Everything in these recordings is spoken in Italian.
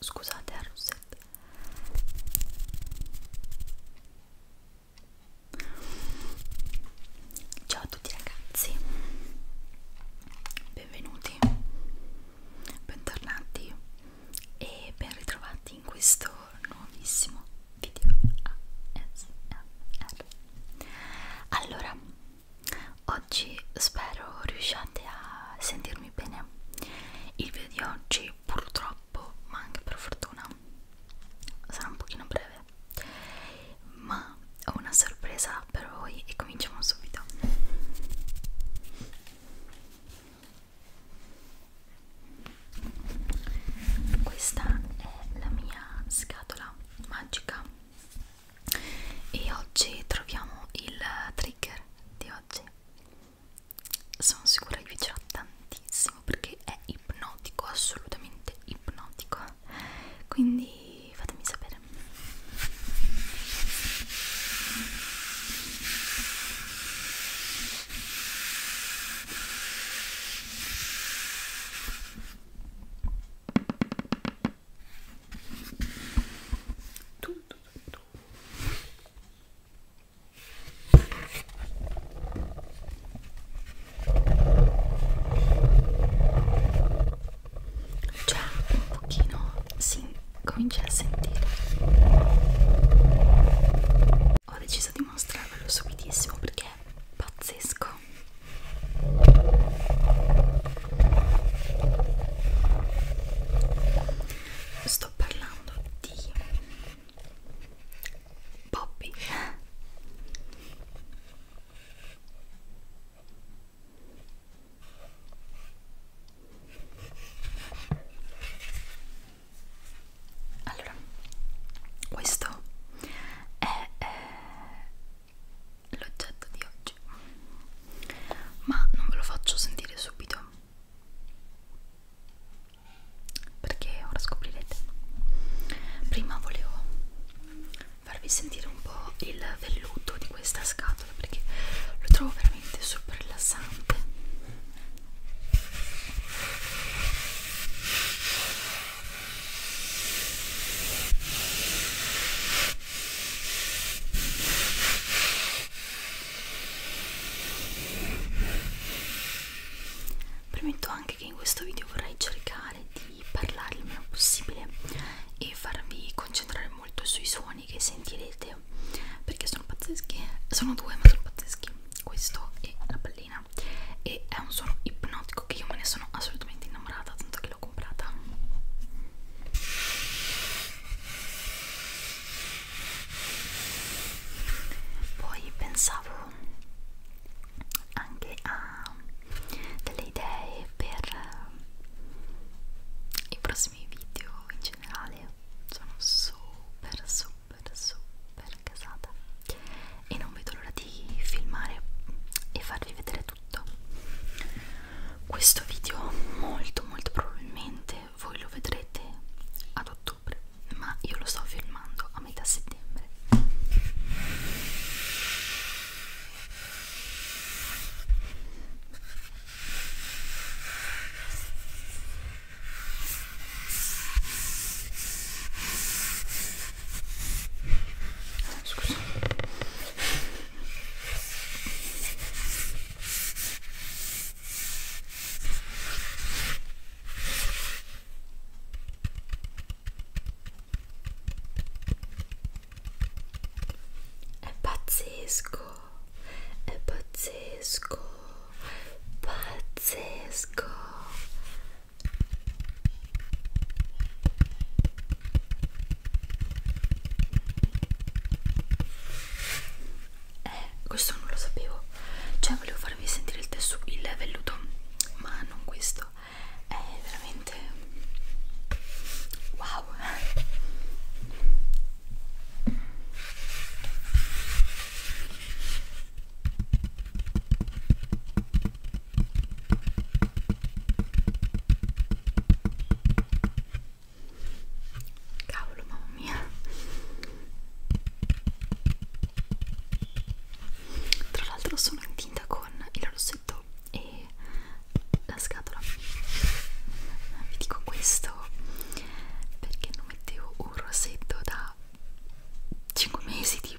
Scusate a eh, Rousset. Ciao a tutti ragazzi, benvenuti, bentornati e ben ritrovati in questo nuovissimo video ASMR. Allora Oggi spero riusciate a sentirmi bene. Il video di oggi purtroppo, ma anche per fortuna, sarà un pochino breve. Ma ho una sorpresa per voi e cominciamo subito. Questa è la mia scatola magica e oggi troviamo il trigger di oggi sono sicura che vi piacerà tantissimo perché è ipnotico assolutamente ipnotico quindi fatemi sapere tutto, tutto. Cioè, un pochino si comincia a sentire. Ho deciso di mostrarvelo subitissimo perché è pazzesco. Sto parlando di Bobby. Allora, questo è eh, l'oggetto di oggi ma non ve lo faccio sentire subito perché ora scoprirete prima volevo farvi sentire un po' il velluto di questa scatola perché lo trovo veramente super rilassante Premetto anche che in questo video vorrei cercare di parlare il meno possibile e farvi concentrare molto sui suoni che sentirete perché sono pazzeschi. Sono due, ma sono pazzeschi. Questo e la pallina. E è un suono ipnotico che io me ne sono assolutamente innamorata, tanto che l'ho comprata poi pensavo anche a delle idee per eh, i prossimi video in generale sono super super super casata e non vedo l'ora di filmare e farvi vedere tutto questo video molto molto probabilmente voi lo vedrete ad ottobre ma io lo sto filmando a metà settembre Scusa è pazzesco, è pazzesco, pazzesco. Eh, questo non lo sapevo. Cioè, volevo farvi sentire il tessuto, il velluto, ma non questo. È veramente wow. Cavolo, mamma mia. Tra l'altro sono in tinta con il rossetto e la scatola. Vi dico questo perché non mettevo un rossetto da 5 mesi tipo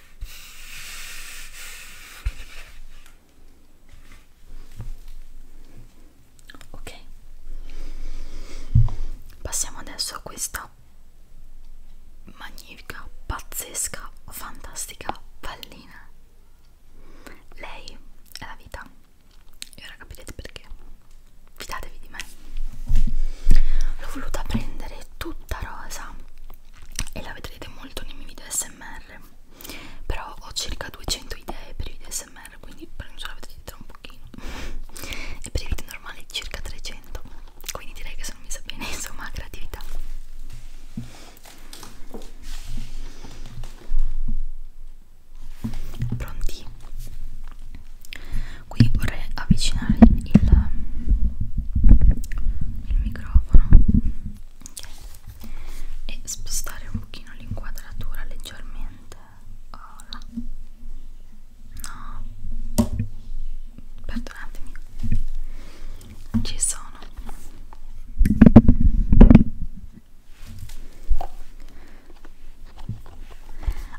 Ok, passiamo adesso a questa magnifica, pazzesca, fantastica pallina. Lei è la vita. E ora capirete perché. Fidatevi di me. L'ho voluta prendere tutta rosa e la vedrete molto nei miei video smr però ho circa 200 idee per i video smr quindi penso la vedrete tra un pochino e per i video normali circa 300 quindi direi che sono messa bene insomma creatività pronti qui vorrei avvicinare il il microfono okay. e spostare un pochino l'inquadratura leggermente oh, là. no perdonatemi ci sono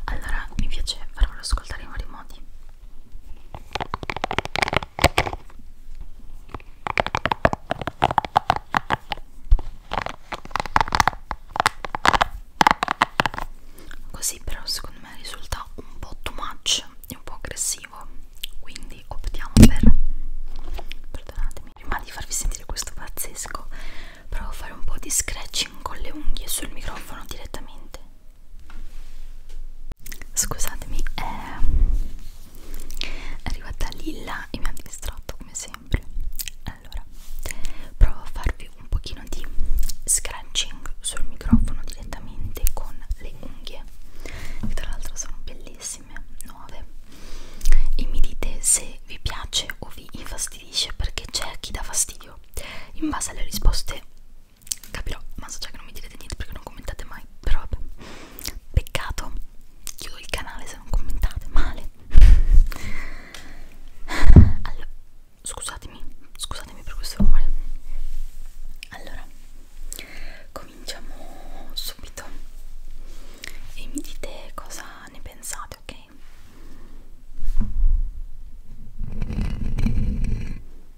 allora mi piace farvelo ascoltare in vari modi Così però secondo me risulta un po' too much e un po' aggressivo, quindi optiamo per perdonatemi, prima di farvi sentire questo pazzesco, provo a fare un po' di scratching con le unghie sul microfono direttamente. Scusatemi, eh, è arrivata Lilla e mi ha distratto come sempre. Allora, provo a farvi un pochino di scratching sul microfono direttamente con le unghie, che tra l'altro sono bellissime, nuove. E mi dite se vi piace o vi infastidisce perché c'è chi dà fastidio in base alle risposte capirò ma so già che non mi direte niente perché non commentate mai però vabbè peccato chiudo il canale se non commentate male allora scusatemi scusatemi per questo rumore allora cominciamo subito e mi dite cosa ne pensate ok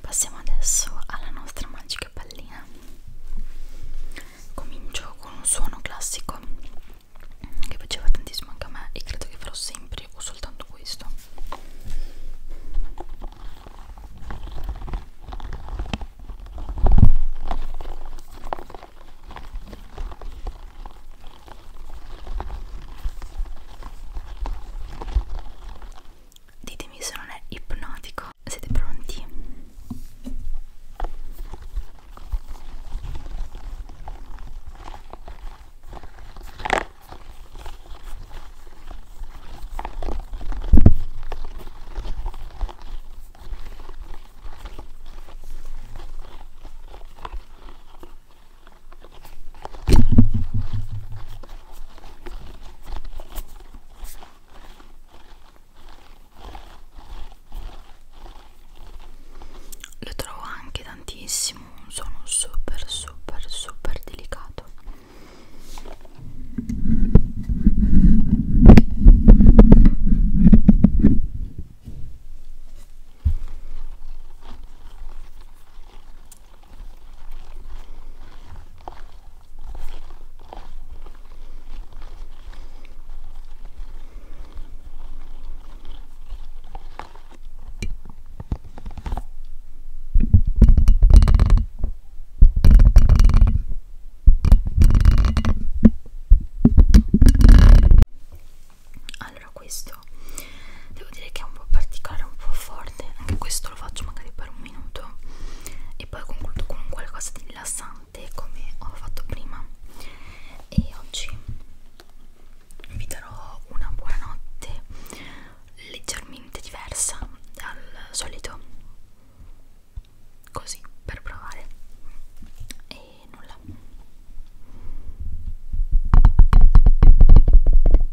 Passiamo adesso alla nostra magica pallina. Comincio con un suono classico che piaceva tantissimo anche a me e credo che farò sempre o soltanto questo ditemi se non è ipnotico siete pronti? lo trovo anche tantissimo un suono super super super delicato allora questo devo dire che è un po' particolare, un po' forte anche questo lo faccio magari per un minuto e poi concludo con qualcosa di rilassante come ho fatto prima e oggi vi darò una buonanotte leggermente diversa dal solito così per provare e nulla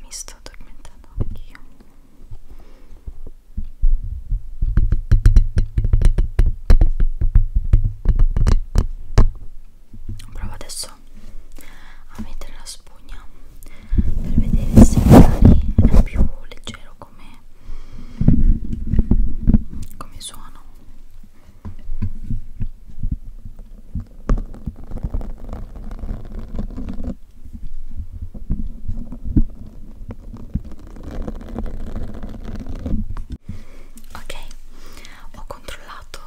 Mi sto addormentando anch'io. Provo adesso a mettere la spugna per vedere se magari è più leggero come, come suono. Ok, ho controllato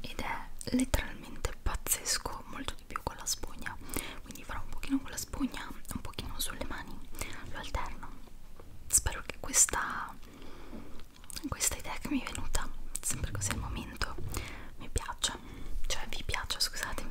ed è letteralmente pazzesco, molto di più con la spugna, quindi farò un pochino con la spugna, un pochino sulle mani, lo alterno. Spero che questa questa idea che mi è venuta sempre così al momento mi piace cioè vi piace scusatemi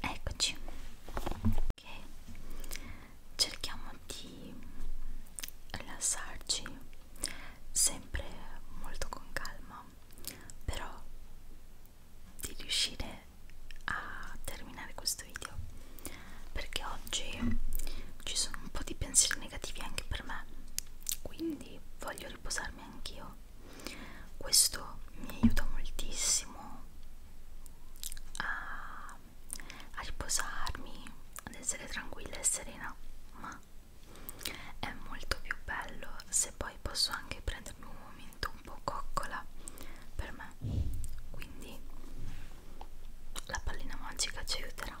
Eccoci. Ok. Cerchiamo di rilassarci sempre molto con calma, però di riuscire a terminare questo video perché oggi ci sono un po' di pensieri negativi anche per me quindi quindi voglio riposarmi anch'io questo mi aiuta moltissimo a, a riposarmi ad essere tranquilla e serena ma è molto più bello se poi posso anche prendermi un momento un po' coccola per me quindi la pallina magica ci aiuterà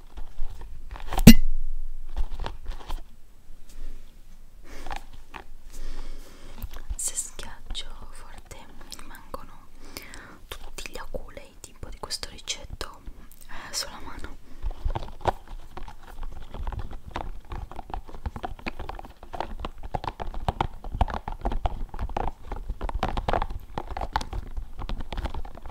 se schiaccio forte rimangono tutti gli aculei tipo di questo ricetto eh, sulla mano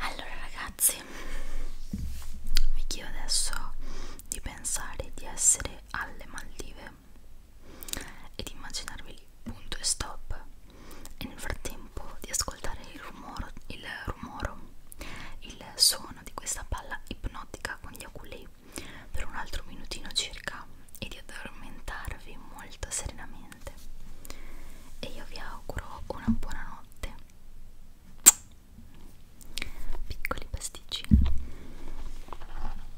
Allora ragazzi, vi chiedo adesso di pensare di essere alle Maldive ed immaginarvi lì, punto e stop e nel frattempo di ascoltare il rumore, il rumoro, il suono di questa palla ipnotica con gli oculei per un altro minutino circa e di addormentarvi molto serenamente e io vi auguro una buona notte piccoli pasticcini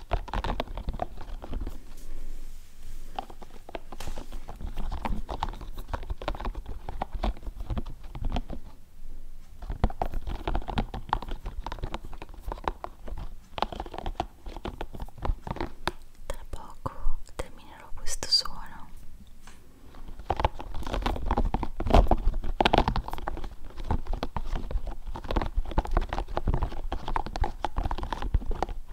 Tra poco terminerò questo suono.